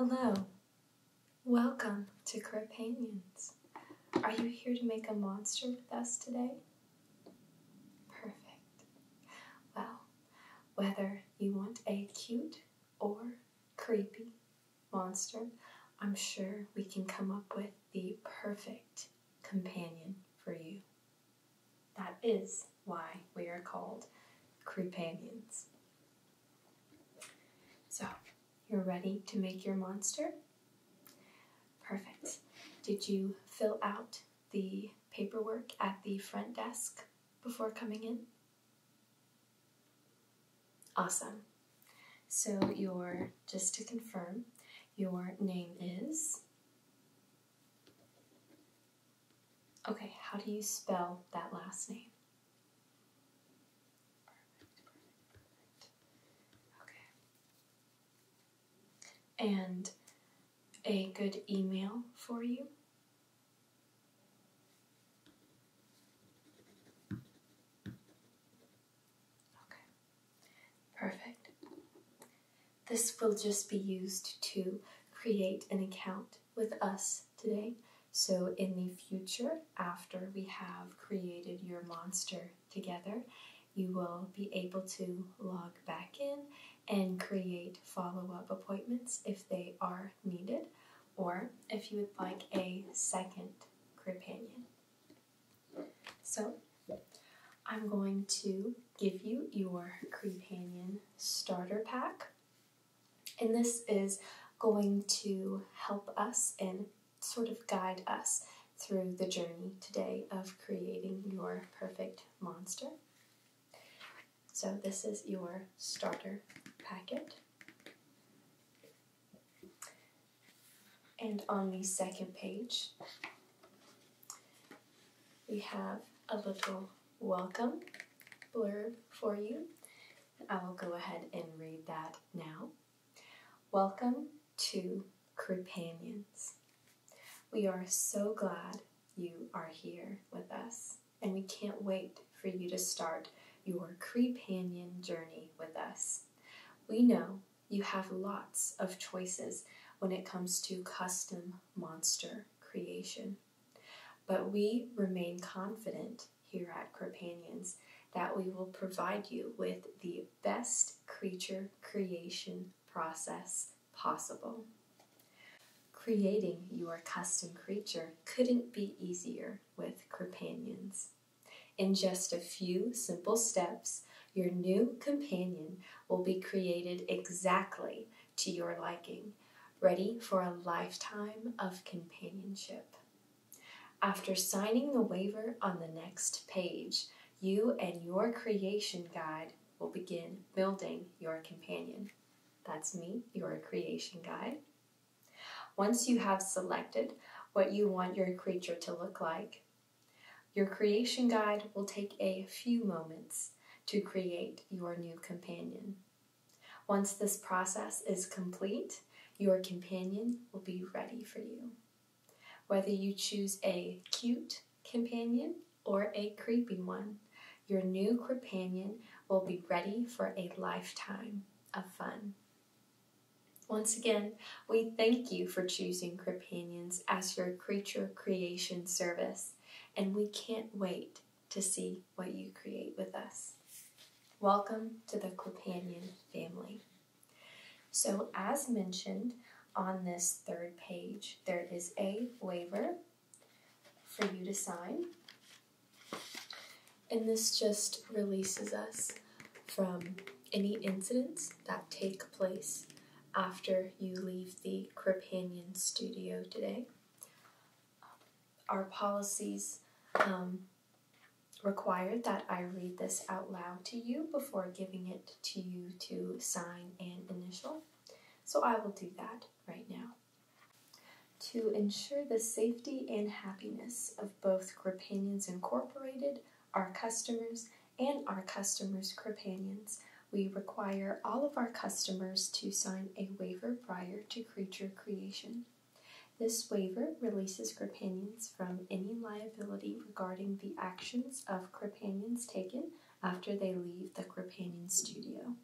hello. Welcome to Crepanions. Are you here to make a monster with us today? Perfect. Well, whether you want a cute or creepy monster, I'm sure we can come up with the perfect companion for you. That is why we are called Creepanions. So, you're ready to make your monster? Perfect. Did you fill out the paperwork at the front desk before coming in? Awesome. So, your, just to confirm, your name is. Okay, how do you spell that last name? Perfect, perfect, perfect. Okay. And a good email for you. Okay, perfect. This will just be used to create an account with us today. So in the future, after we have created your monster together, you will be able to log back in and create follow up appointments if they are needed or if you would like a second companion. So I'm going to give you your Crepanion starter pack. And this is going to help us and sort of guide us through the journey today of creating your perfect monster. So this is your starter packet. And on the second page, we have a little welcome blurb for you. I will go ahead and read that now. Welcome to Crepanions. We are so glad you are here with us. And we can't wait for you to start your Crepanion journey with us. We know you have lots of choices when it comes to custom monster creation. But we remain confident here at Crepanions that we will provide you with the best creature creation process possible. Creating your custom creature couldn't be easier with Crepanions. In just a few simple steps, your new companion will be created exactly to your liking, ready for a lifetime of companionship. After signing the waiver on the next page, you and your creation guide will begin building your companion. That's me, your creation guide. Once you have selected what you want your creature to look like, your creation guide will take a few moments to create your new companion. Once this process is complete, your companion will be ready for you. Whether you choose a cute companion or a creepy one, your new companion will be ready for a lifetime of fun. Once again, we thank you for choosing Companions as your creature creation service, and we can't wait to see what you create with us. Welcome to the Companion family. So, as mentioned on this third page, there is a waiver for you to sign. And this just releases us from any incidents that take place after you leave the Crepanion studio today. Our policies um, require that I read this out loud to you before giving it to you to sign and initial. So I will do that right now. To ensure the safety and happiness of both Crepinions Incorporated, our customers, and our customers' Gripanians, we require all of our customers to sign a waiver prior to creature creation. This waiver releases Crepinions from any liability regarding the actions of Crepinions taken after they leave the Gripanian studio.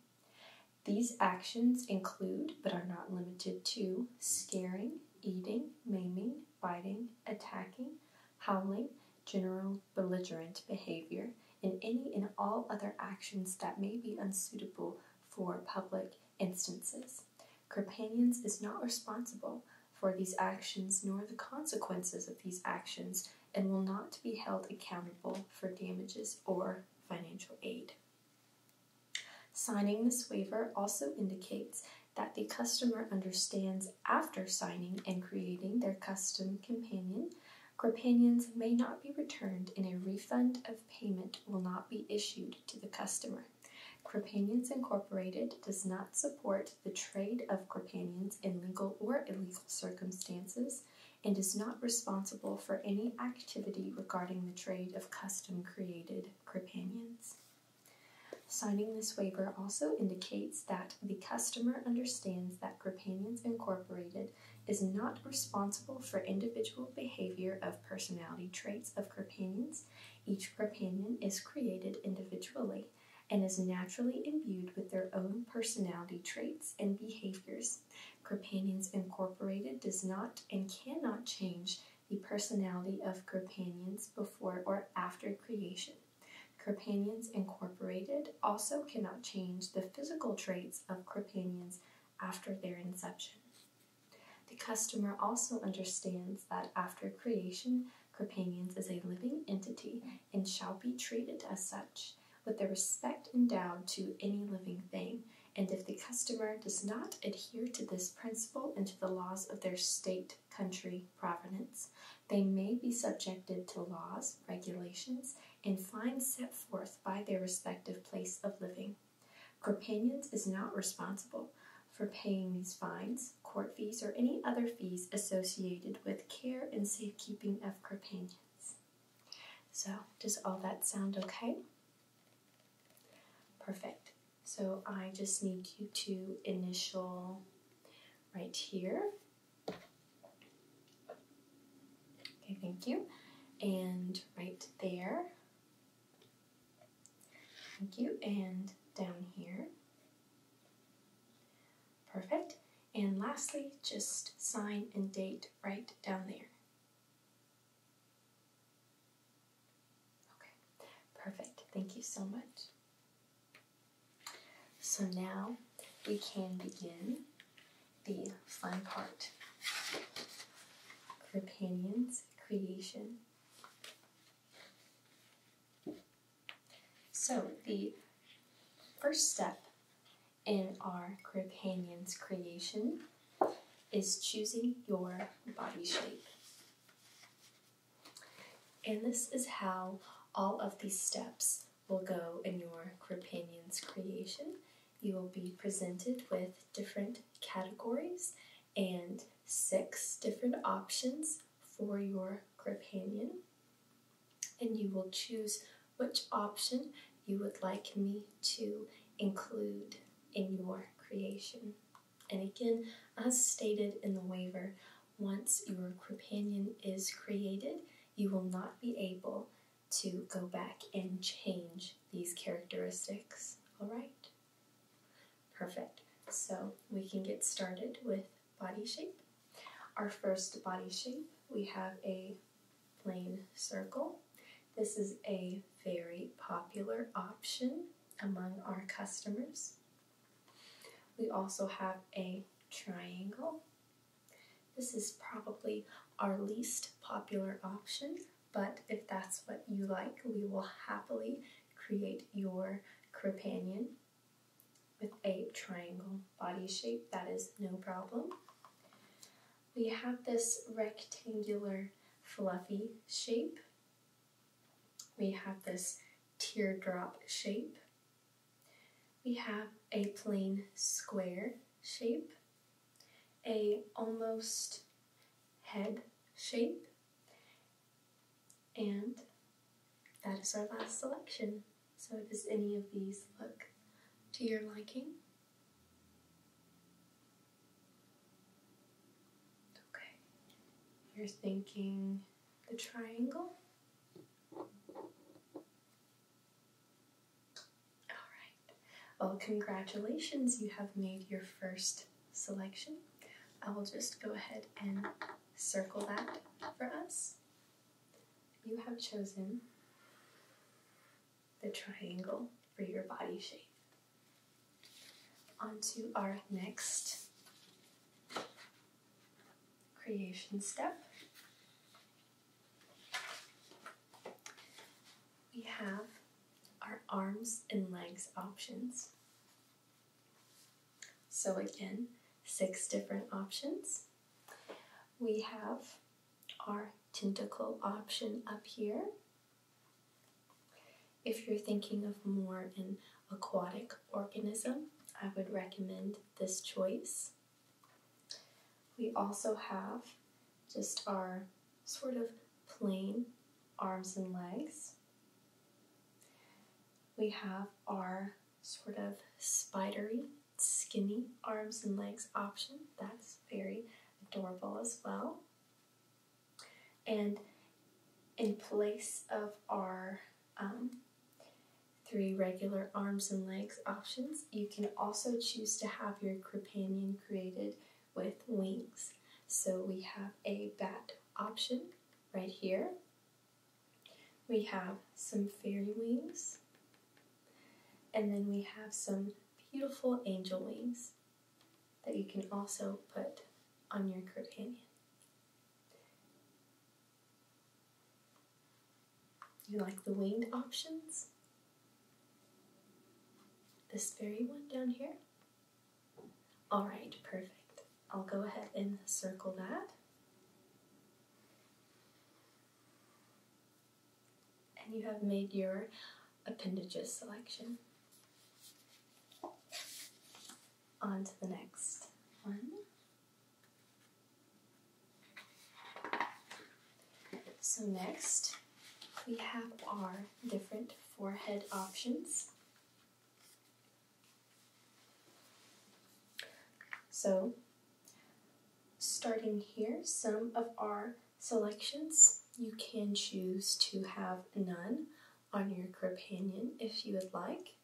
These actions include, but are not limited to, scaring, eating, maiming, biting, attacking, howling, general belligerent behavior, and any and all other actions that may be unsuitable for public instances. Carpanians is not responsible for these actions nor the consequences of these actions and will not be held accountable for damages or financial aid. Signing this waiver also indicates that the customer understands after signing and creating their custom companion, companions may not be returned and a refund of payment will not be issued to the customer. Companions Incorporated does not support the trade of companions in legal or illegal circumstances, and is not responsible for any activity regarding the trade of custom created crepanions. Signing this waiver also indicates that the customer understands that Gripanians Incorporated is not responsible for individual behavior of personality traits of Gripanians. Each Gripanian is created individually and is naturally imbued with their own personality traits and behaviors Services. Incorporated does not and cannot change the personality of Companions before or after creation. Companions Incorporated also cannot change the physical traits of Companions after their inception. The customer also understands that after creation, Companions is a living entity and shall be treated as such with the respect endowed to any living thing, and if the customer does not adhere to this principle and to the laws of their state, country, provenance, they may be subjected to laws, regulations, and fines set forth by their respective place of living. Corpanians is not responsible for paying these fines, court fees, or any other fees associated with care and safekeeping of Corpanians. So does all that sound okay? Perfect. So I just need you to initial right here. Okay, thank you. And right there. Thank you. And down here. Perfect. And lastly, just sign and date right down there. Okay, perfect. Thank you so much. So now we can begin the fun part. Companions creation. So the first step in our Gripanian's creation is choosing your body shape. And this is how all of these steps will go in your Gripanian's creation. You will be presented with different categories and six different options for your Gripanian. And you will choose which option you would like me to include in your creation. And again, as stated in the waiver, once your companion is created, you will not be able to go back and change these characteristics. All right? Perfect. So we can get started with body shape. Our first body shape, we have a plain circle. This is a very popular option among our customers. We also have a triangle. This is probably our least popular option, but if that's what you like, we will happily create your crepanion with a triangle body shape. That is no problem we have this rectangular fluffy shape. We have this teardrop shape. We have a plain square shape, a almost head shape, and that is our last selection. So does any of these look to your liking? Okay, you're thinking the triangle? Alright, well, congratulations, you have made your first selection. I will just go ahead and circle that for us. You have chosen the triangle for your body shape. On to our next creation step. We have our arms and legs options. So again, six different options. We have our tentacle option up here. If you're thinking of more an aquatic organism, I would recommend this choice. We also have just our sort of plain arms and legs. We have our sort of spidery, skinny arms and legs option. That's very adorable as well. And in place of our um, three regular arms and legs options, you can also choose to have your companion created with wings. So we have a bat option right here. We have some fairy wings and then we have some beautiful angel wings that you can also put on your companion. You like the winged options? This very one down here? Alright, perfect. I'll go ahead and circle that and you have made your appendages selection. On to the next one. So next, we have our different forehead options. So starting here, some of our selections. You can choose to have none on your companion if you would like.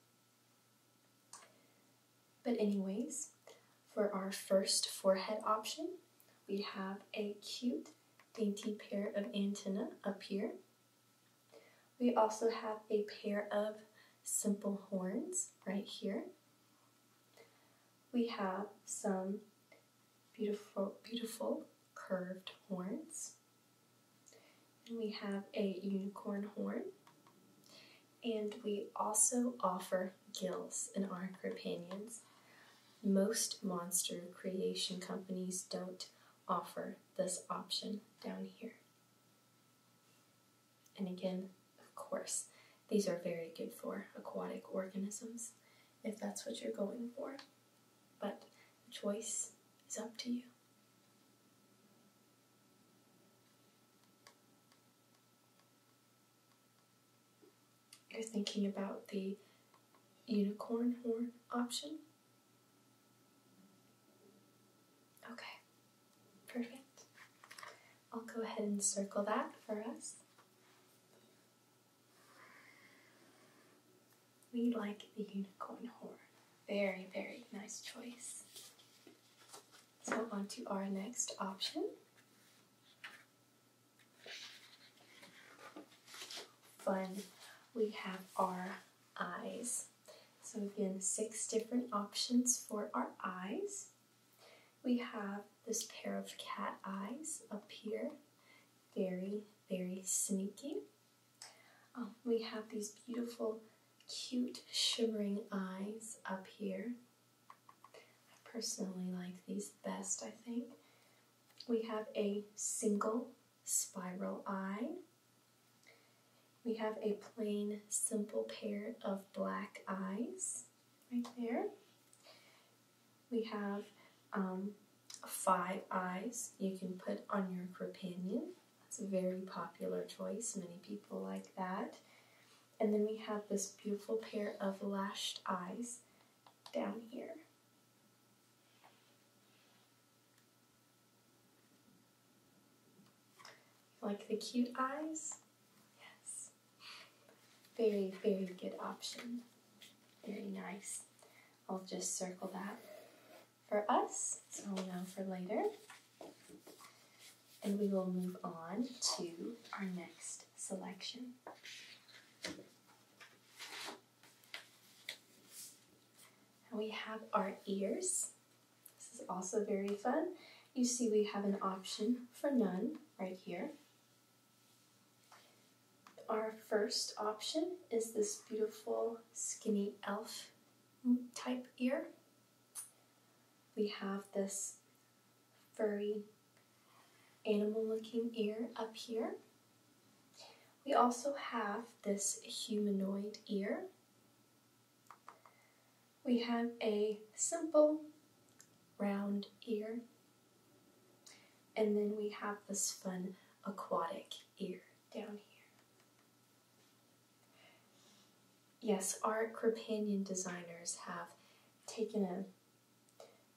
But anyways, for our first forehead option, we have a cute, dainty pair of antennae up here. We also have a pair of simple horns right here. We have some beautiful, beautiful curved horns. And we have a unicorn horn. And we also offer gills in our companions. Most monster creation companies don't offer this option down here. And again, of course, these are very good for aquatic organisms if that's what you're going for, but the choice is up to you. You're thinking about the unicorn horn option? Okay, perfect. I'll go ahead and circle that for us. We like the unicorn horn. Very, very nice choice. So on to our next option. Fun. We have our eyes. So again, six different options for our eyes we have this pair of cat eyes up here. Very, very sneaky. Um, we have these beautiful, cute, shimmering eyes up here. I personally like these best, I think. We have a single spiral eye. We have a plain, simple pair of black eyes right there. We have um, five eyes you can put on your companion. That's a very popular choice. Many people like that. And then we have this beautiful pair of lashed eyes down here. Like the cute eyes? Yes. Very, very good option. Very nice. I'll just circle that for us. So now for later. And we will move on to our next selection. we have our ears. This is also very fun. You see we have an option for none right here. Our first option is this beautiful skinny elf type ear. We have this furry animal looking ear up here. We also have this humanoid ear. We have a simple round ear and then we have this fun aquatic ear down here. Yes, our Crepanion designers have taken a,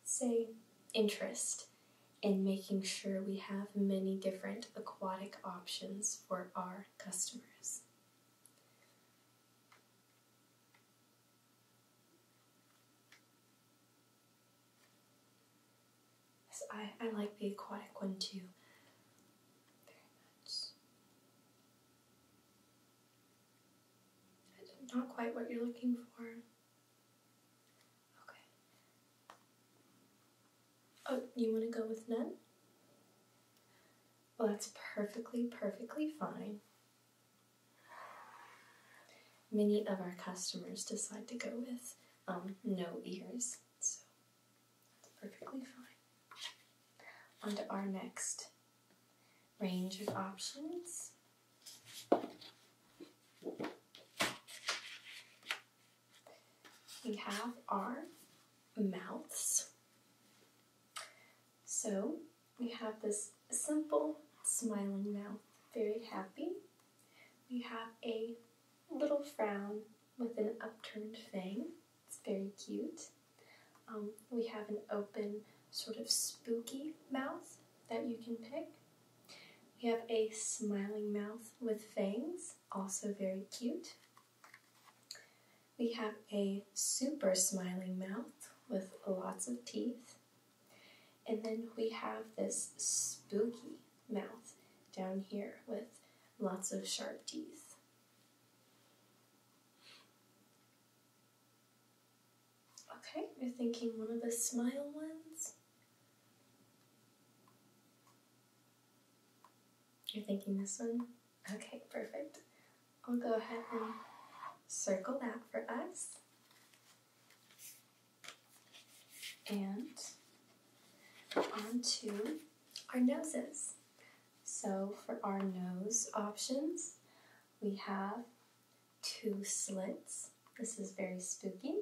say, interest in making sure we have many different aquatic options for our customers. I, I like the aquatic one too. Very much. Not quite what you're looking for. Okay. Oh, you want to go with none? Well, that's perfectly, perfectly fine. Many of our customers decide to go with um, no ears, so perfectly fine. On to our next range of options. We have our mouths. So we have this simple smiling mouth, very happy. We have a little frown with an upturned fang. It's very cute. Um, we have an open, sort of spooky mouth that you can pick. We have a smiling mouth with fangs, also very cute. We have a super smiling mouth with lots of teeth, and then we have this spooky mouth down here with lots of sharp teeth. Okay, you're thinking one of the smile ones? You're thinking this one? Okay, perfect. I'll go ahead and circle that for us. And onto our noses. So for our nose options, we have two slits. This is very spooky.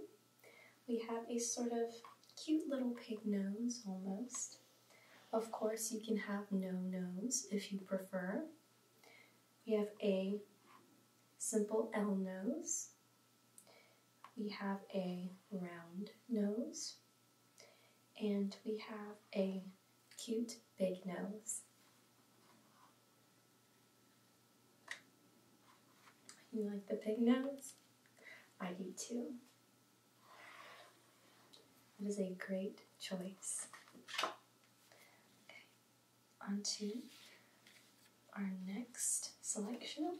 We have a sort of cute little pig nose almost. Of course, you can have no nose if you prefer. We have a simple L nose. We have a round nose. And we have a cute big nose. You like the pig nose? I do too. That is a great choice onto our next selection.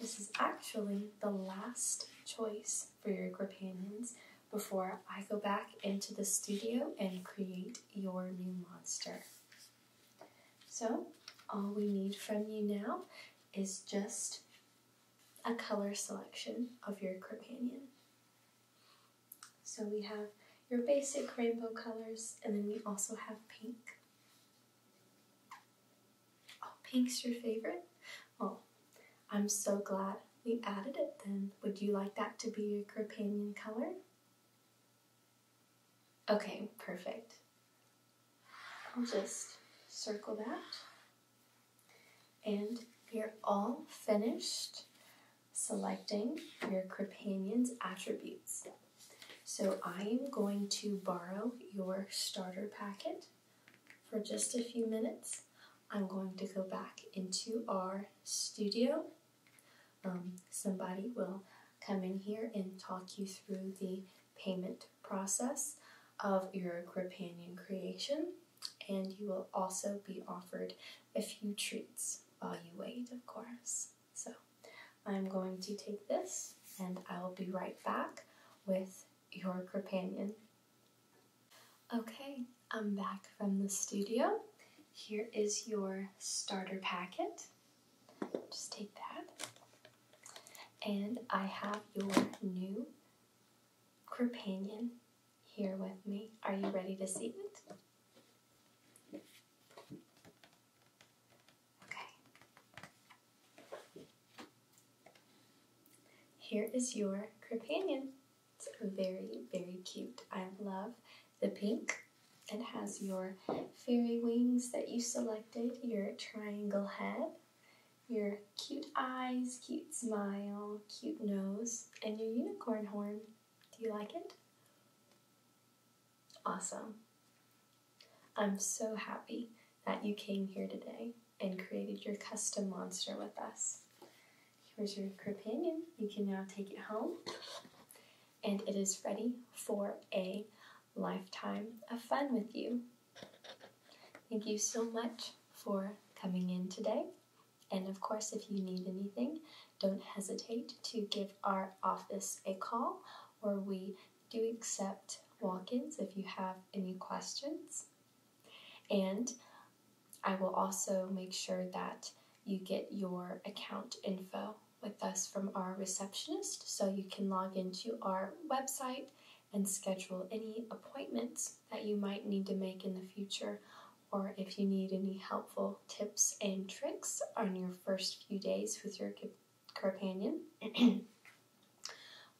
This is actually the last choice for your companions before I go back into the studio and create your new monster. So all we need from you now is just a color selection of your companion. So we have your basic rainbow colors and then we also have pink. Oh, pink's your favorite? Oh, I'm so glad we added it then. Would you like that to be your companion color? Okay, perfect. I'll just circle that. And you're all finished selecting your Crepanion's attributes. So I am going to borrow your starter packet for just a few minutes. I'm going to go back into our studio. Um, somebody will come in here and talk you through the payment process of your Gripanian creation, and you will also be offered a few treats while you wait, of course. So I'm going to take this and I will be right back with your companion. Okay, I'm back from the studio. Here is your starter packet. Just take that. And I have your new companion here with me. Are you ready to see it? Okay. Here is your companion. It's very, very cute. I love the pink. It has your fairy wings that you selected, your triangle head, your cute eyes, cute smile, cute nose, and your unicorn horn. Do you like it? Awesome. I'm so happy that you came here today and created your custom monster with us. Here's your companion. You can now take it home. And it is ready for a lifetime of fun with you. Thank you so much for coming in today. And of course, if you need anything, don't hesitate to give our office a call or we do accept walk ins if you have any questions. And I will also make sure that you get your account info with us from our receptionist so you can log into our website and schedule any appointments that you might need to make in the future or if you need any helpful tips and tricks on your first few days with your Companion.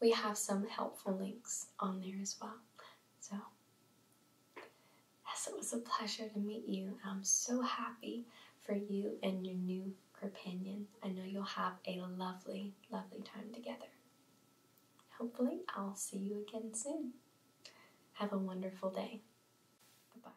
we have some helpful links on there as well. So, yes, it was a pleasure to meet you. I'm so happy for you and your new companion. I know you'll have a lovely, lovely time together. Hopefully, I'll see you again soon. Have a wonderful day. Bye